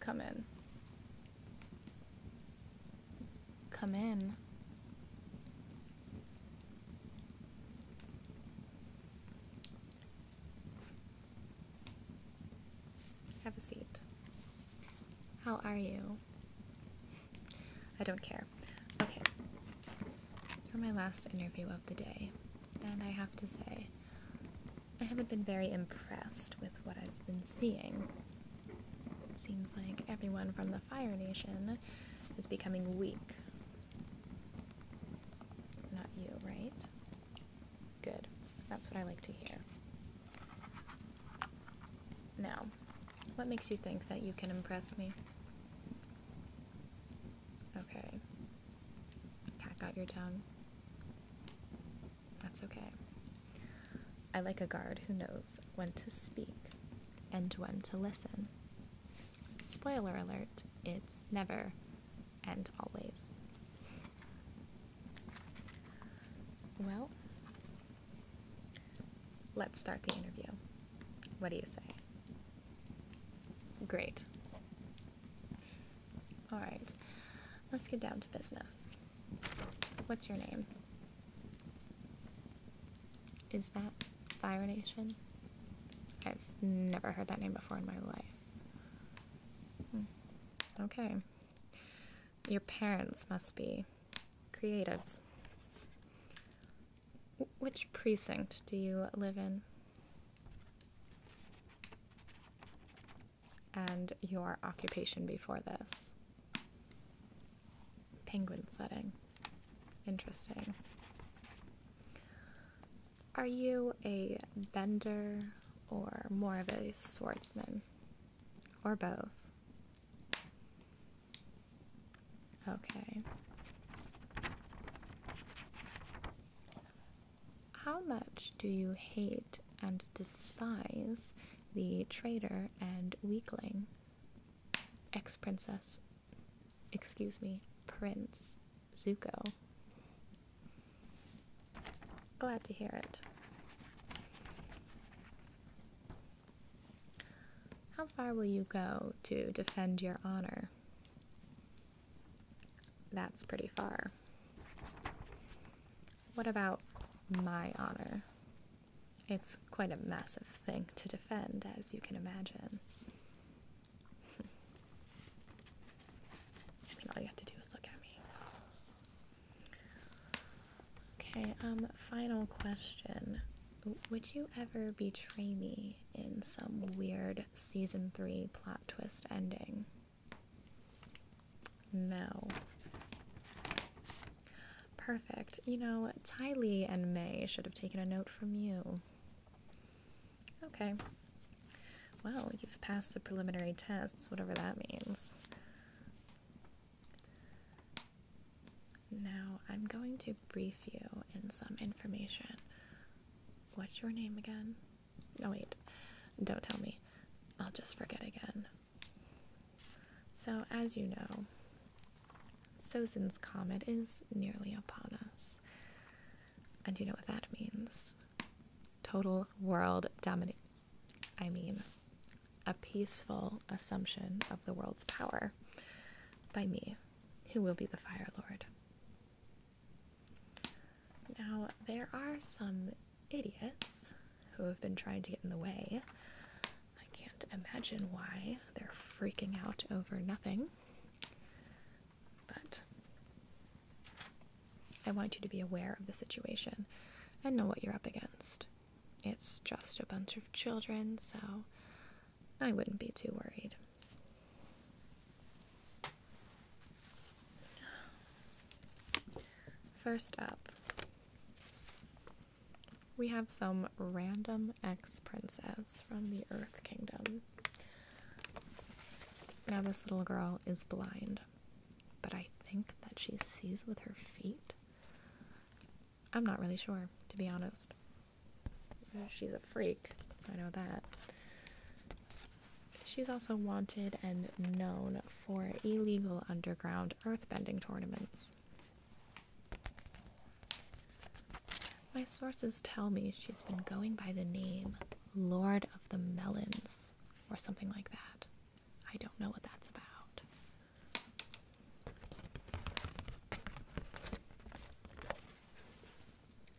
Come in. Come in. Have a seat. How are you? I don't care. Okay. For my last interview of the day, and I have to say, I haven't been very impressed with what I've been seeing. It seems like everyone from the Fire Nation is becoming weak. Not you, right? Good. That's what I like to hear. Now, what makes you think that you can impress me? Okay. Cat got your tongue. That's okay. I like a guard who knows when to speak and when to listen. Spoiler alert, it's never and always. Well, let's start the interview. What do you say? Great. All right, let's get down to business. What's your name? Is that Fire Nation? I've never heard that name before in my life. Hmm. Okay. Your parents must be creatives. which precinct do you live in? And your occupation before this? Penguin setting. Interesting. Are you a bender or more of a swordsman? Or both? Okay. How much do you hate and despise the traitor and weakling? Ex Princess excuse me, Prince Zuko. Glad to hear it. How far will you go to defend your honor? That's pretty far. What about my honor? It's quite a massive thing to defend, as you can imagine all you have to do is look at me. Okay, um, final question. Would you ever betray me in some weird season three plot twist ending? No. Perfect. You know, Ty Lee and May should have taken a note from you. Okay. Well, you've passed the preliminary tests, whatever that means. Now, I'm going to brief you in some information. What's your name again? No, wait. Don't tell me. I'll just forget again. So, as you know, Sozin's comet is nearly upon us. And you know what that means? Total world domination. I mean, a peaceful assumption of the world's power by me, who will be the Fire Lord. Now, there are some idiots who have been trying to get in the way I can't imagine why they're freaking out over nothing. But I want you to be aware of the situation and know what you're up against. It's just a bunch of children, so I wouldn't be too worried. First up, we have some random ex princess from the Earth Kingdom. Now, this little girl is blind, but I think that she sees with her feet. I'm not really sure, to be honest. Uh, she's a freak, I know that. She's also wanted and known for illegal underground earthbending tournaments. My sources tell me she's been going by the name Lord of the Melons or something like that. I don't know what that's about.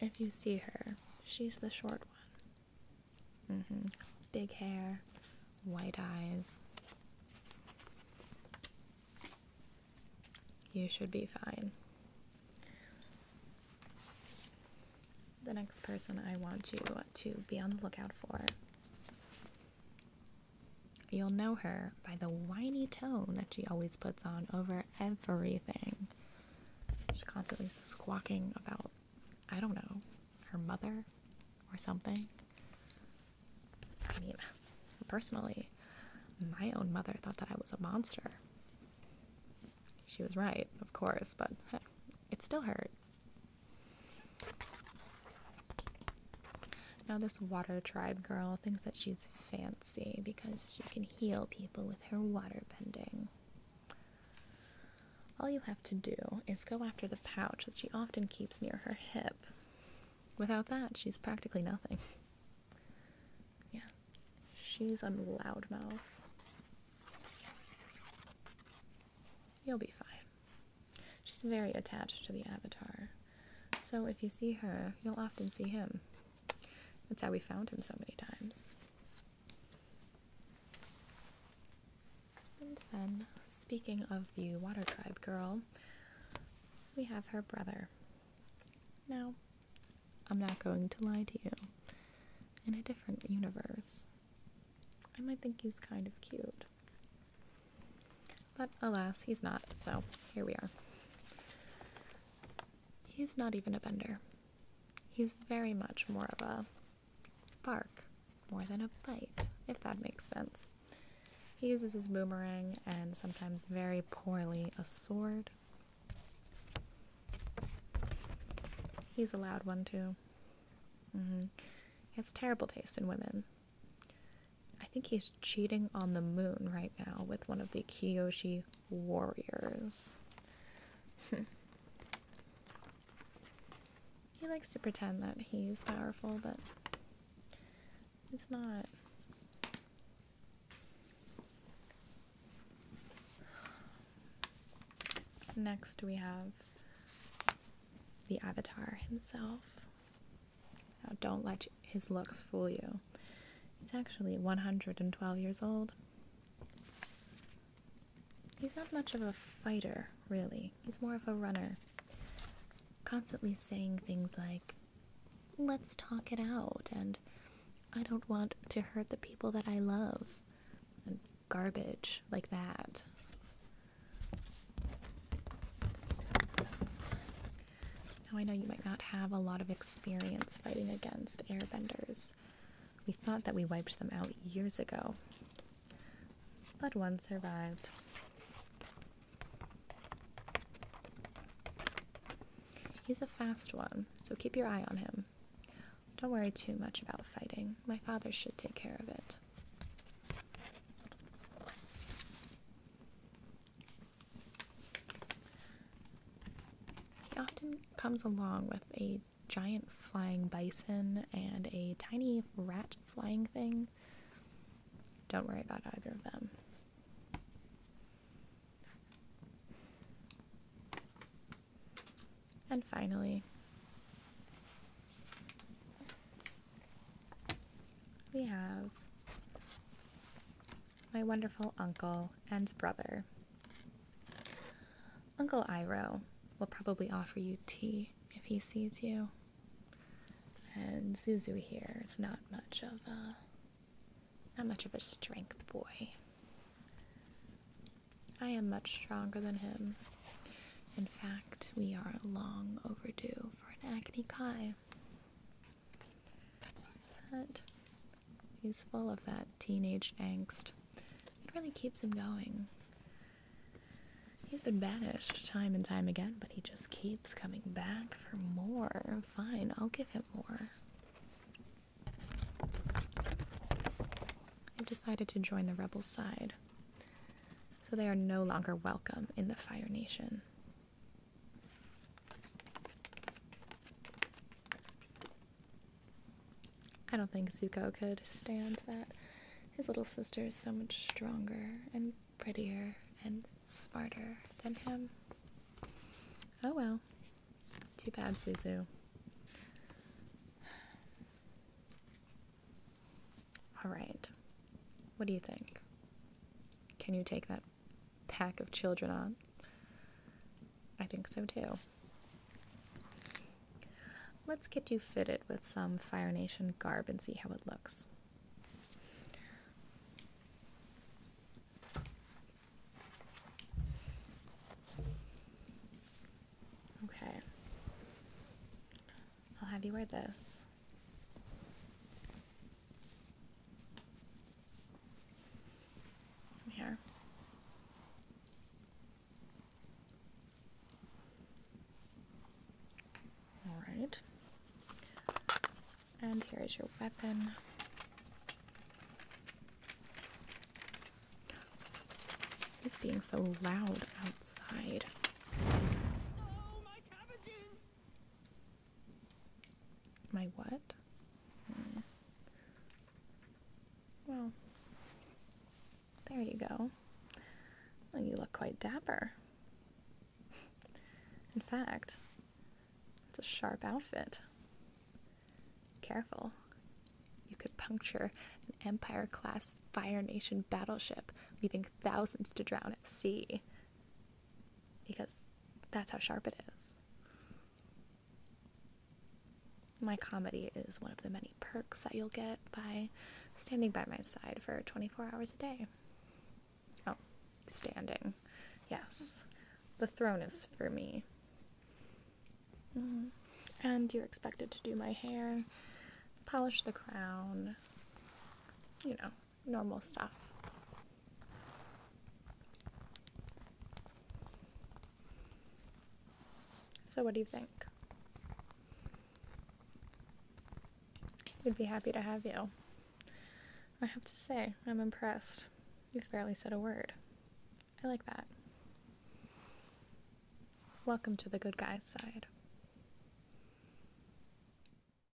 If you see her, she's the short one. Mm -hmm. Big hair, white eyes. You should be fine. The next person I want you to be on the lookout for. You'll know her by the whiny tone that she always puts on over everything. She's constantly squawking about, I don't know, her mother or something. I mean, personally, my own mother thought that I was a monster. She was right, of course, but it still hurt. Now, this water tribe girl thinks that she's fancy because she can heal people with her water bending. All you have to do is go after the pouch that she often keeps near her hip Without that, she's practically nothing. Yeah. She's a loudmouth. You'll be fine. She's very attached to the avatar. So if you see her, you'll often see him. That's how we found him so many times. And then, speaking of the Water Tribe girl, we have her brother. Now, I'm not going to lie to you. In a different universe, I might think he's kind of cute. But alas, he's not, so here we are. He's not even a bender. He's very much more of a bark more than a bite, if that makes sense. He uses his boomerang and sometimes very poorly a sword. He's a loud one too. Mm has terrible taste in women. I think he's cheating on the moon right now with one of the Kyoshi warriors. He likes to pretend that he's powerful, but it's not. Next, we have the Avatar himself. Now, don't let his looks fool you. He's actually 112 years old. He's not much of a fighter, really. He's more of a runner. Constantly saying things like, let's talk it out, and I don't want to hurt the people that I love, and garbage like that. Now, I know you might not have a lot of experience fighting against airbenders, we thought that we wiped them out years ago. But one survived. He's a fast one, so keep your eye on him. Don't worry too much about fighting. My father should take care of it. He often comes along with a giant flying bison and a tiny rat flying thing. Don't worry about either of them. And finally, we have my wonderful uncle and brother, Uncle Iro will probably offer you tea if he sees you. And Zuzu here is not much of a not much of a strength boy. I am much stronger than him. In fact, we are long overdue for an acne kai. But he's full of that teenage angst. It really keeps him going. He's been banished time and time again, but he just keeps coming back for more. Fine, I'll give him more. I've decided to join the rebel side, so they are no longer welcome in the Fire Nation. I don't think Zuko could stand that his little sister is so much stronger and prettier and smarter than him. Oh well. Too bad, Suzu. Alright. What do you think? Can you take that pack of children on. I think so too. Let's get you fitted with some Fire Nation garb and see how it looks. Okay. I'll have you wear this. Here. All right. And here is your weapon. It's being so loud outside. My what? Hmm. Well, there you go. you look quite dapper. In fact, it's a sharp outfit. Careful. You could puncture an Empire class Fire Nation battleship, leaving thousands to drown at sea because that's how sharp it is. My comedy is one of the many perks that you'll get by standing by my side for 24 hours a day. Oh, standing. Yes. The throne is for me. Mm-hmm. And you're expected to do my hair, polish the crown, you know, normal stuff. So, what do you think? We'd be happy to have you. I have to say, I'm impressed. You've barely said a word. I like that. Welcome to the good guy's side.